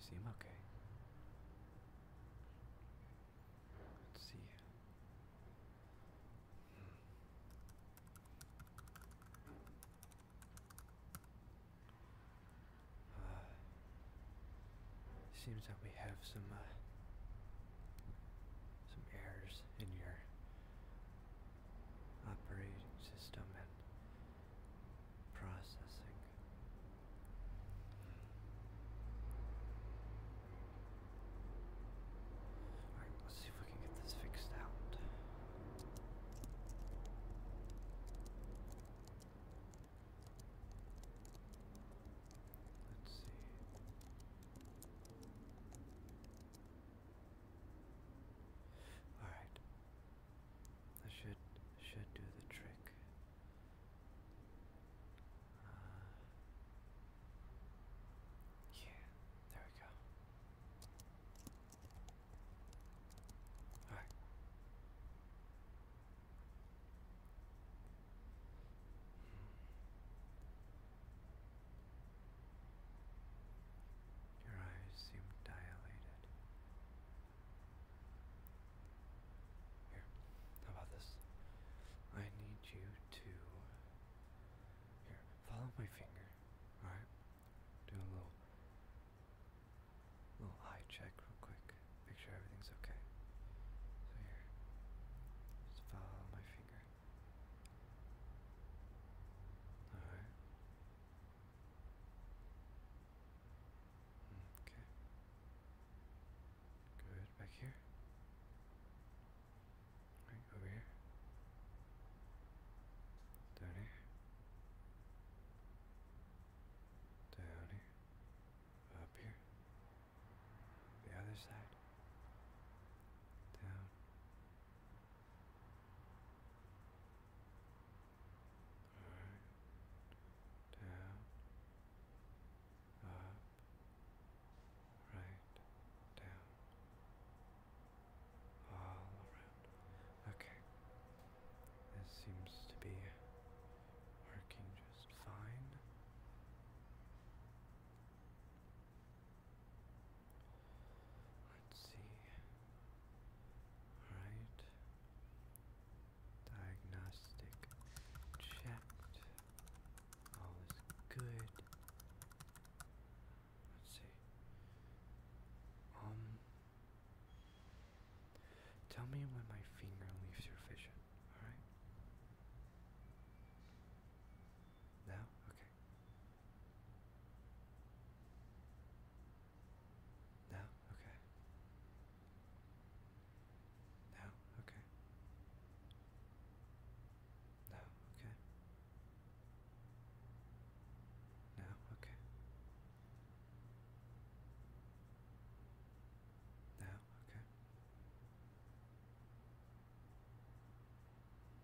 seem okay. Let's see. Hmm. Uh, seems that we have some uh, some errors in your operating system and processing. Alright, let's see if we can get this fixed out. Let's see. All right. I should should do the trick. Uh, yeah, there we go. All right. Your eyes seem dilated. Here, how about this? I need you to. Here, follow my finger, alright? Do a little. little eye check real quick. Make sure everything's okay. So here. Just follow my finger. All right. Okay. Good. Back here. Right over here. Down here. Down here. Up here. The other side. Down. Alright. Down. Up. Right. Down. All around. Okay. This seems to be working just fine. Let's see. Alright. Diagnostic checked. All is good. Let's see. Um Tell me when my finger leaves your vision, alright? No? Okay. No? Okay. No? Okay. No? Okay. No? Okay. No? Okay.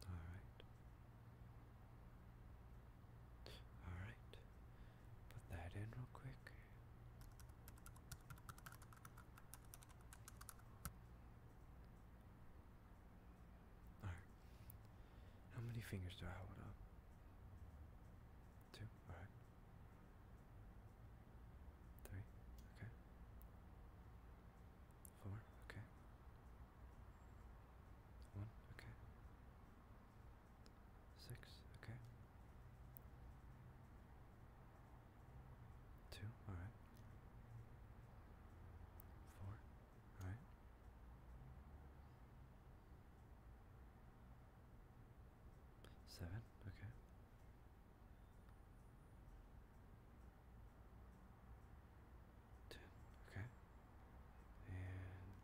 All right. All right. Put that in real quick. All right. How many fingers do I hold up? Two. All right. Three, okay. Four, okay. One, okay. Six, okay. Two, alright. Four, alright. Seven, okay. Ten. Okay. And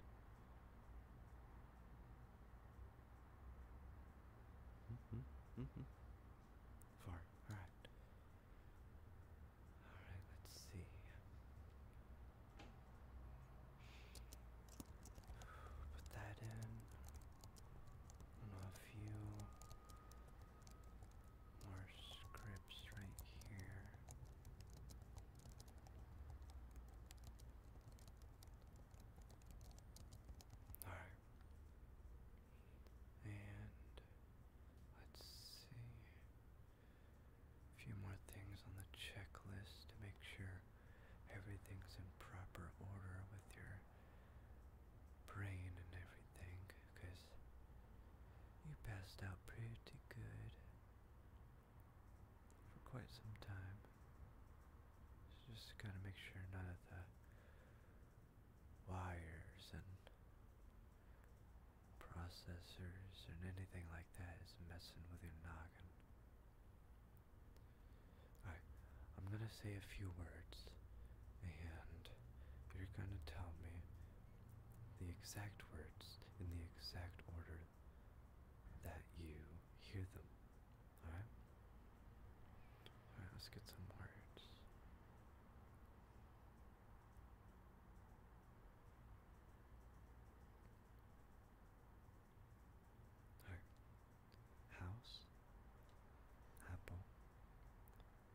mm-hmm. Mm-hmm. Four. All right. Hmm. Hmm, hmm, All right. Let's see. Put that in. I do you more scripts right here. Alright. And let's see. A few more things on the checklist to make sure everything's in proper order with your brain and everything, you passed out pretty good for quite some time. So just gotta make sure none of the wires and processors and anything like that is messing with your noggin. Alright, I'm gonna say a few words, and you're gonna tell me the exact words in the exact order that you hear them. Alright? Alright, let's get some words. Alright. House, apple,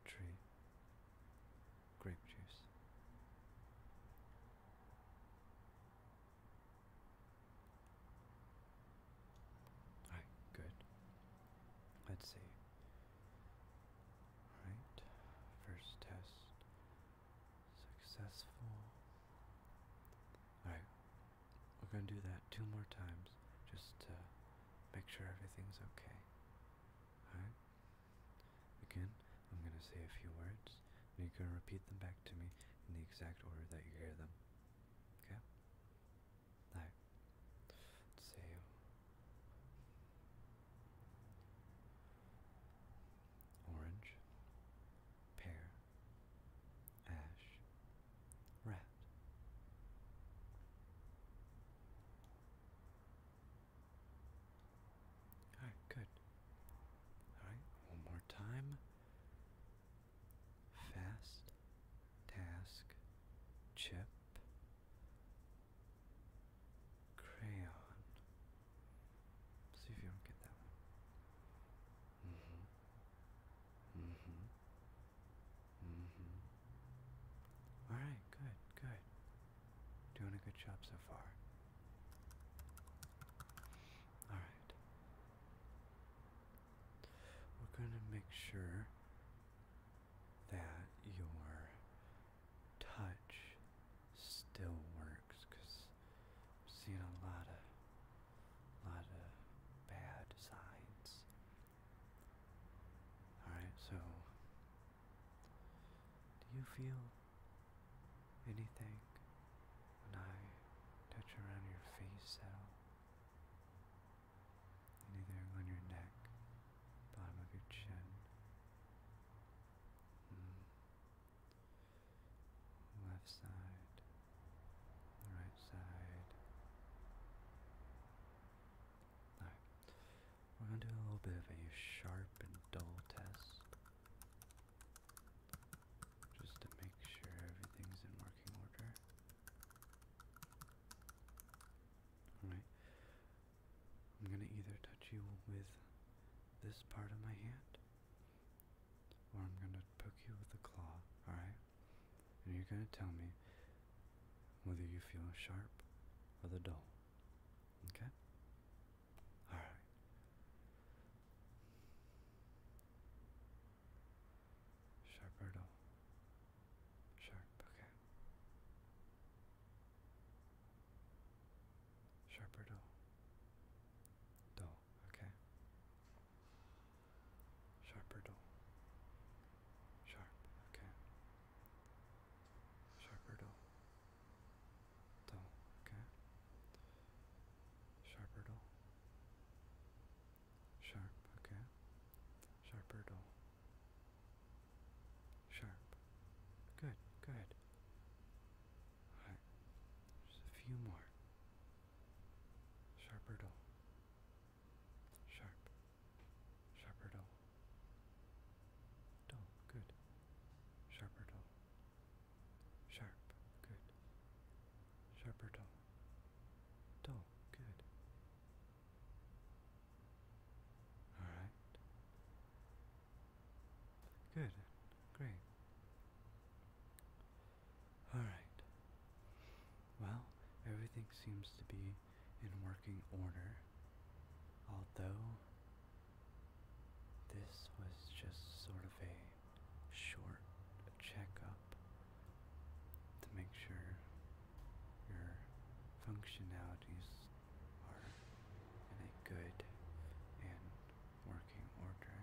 tree grape juice. Alright, good. Let's see. Alright, first test successful. Alright, we're gonna do that two more times. Just uh, make sure everything's okay. Alright? Again, I'm going to say a few words, and you can repeat them back to me in the exact order that you hear them. Okay? Alright. say. Orange, pear, ash, rat, all right, good. All right, one more time. Fast task chip crayon. See if you don't get that one. hmm Mm-hmm. mm-hmm. Mm-hmm. Alright, good, good. Doing a good job so far. Alright. We're gonna make sure that your touch still works I've seen a lot of lot of bad signs Alright, so do you feel anything when I touch around your face at all? Anything on your neck, bottom of your chin? Hmm. Left side, right side. Alright. We're gonna do a little bit of a sharp and dull test. Just to make sure everything's in working order. Alright. I'm gonna either touch you with this part of my hand or I'm gonna poke you with a claw, alright? and you're going to tell me whether you feel sharp or the dull. Okay? Alright. Sharp dull? Sharp, okay. Sharp dull? Dull, okay. Sharp dull? Sharp, okay. Sharper dull. Dull, okay. Sharper dull. Sharp, okay. Sharper dull. Sharp. Good, good. Alright. Just a few more. Sharper dull. Sharp. Sharper dull. Dull. Good. Sharper dull. Sharp. Good. Sharper dull. Dull. Good. Alright. Good. Great. Alright. Well, everything seems to be in working order, although this was just sort of a short checkup to make sure your functionalities are in a good and working order.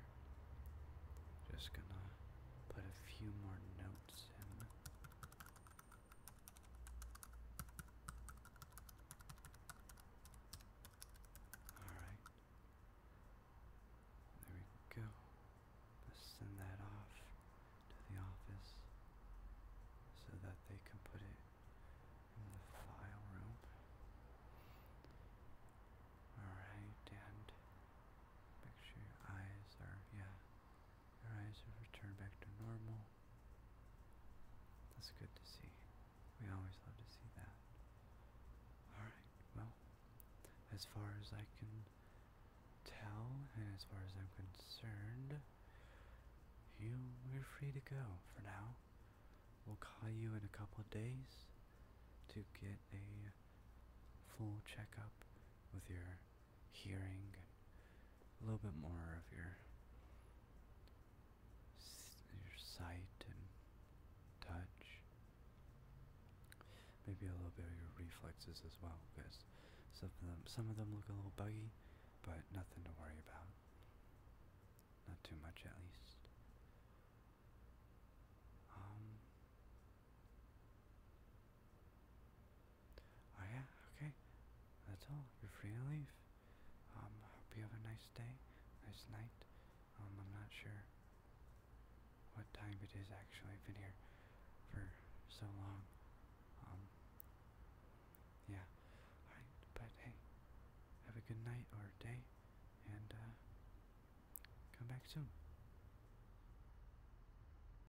Just gonna put a few more notes in Alright. There we go. Let's send that off to the office so that they can put it in the file room. Alright, and make sure your eyes are, yeah, your eyes have returned back to normal. That's good to see. We always love to see that. Alright, well, as far as I can tell, and as far as I'm concerned, you are free to go for now. We'll call you in a couple of days to get a full checkup with your hearing, a little bit more of your your sight and touch. Maybe a little bit of your reflexes as well, because some of them some of them look a little buggy, but nothing to worry about. Not too much, at least. Um, Oh yeah, okay. That's all. You're free to leave. Um, I hope you have a nice day, nice night. Um, I'm not sure what time it is actually. I've been here for so long. Um, yeah. Alright, but hey, have a good night or day, and, uh, come back soon.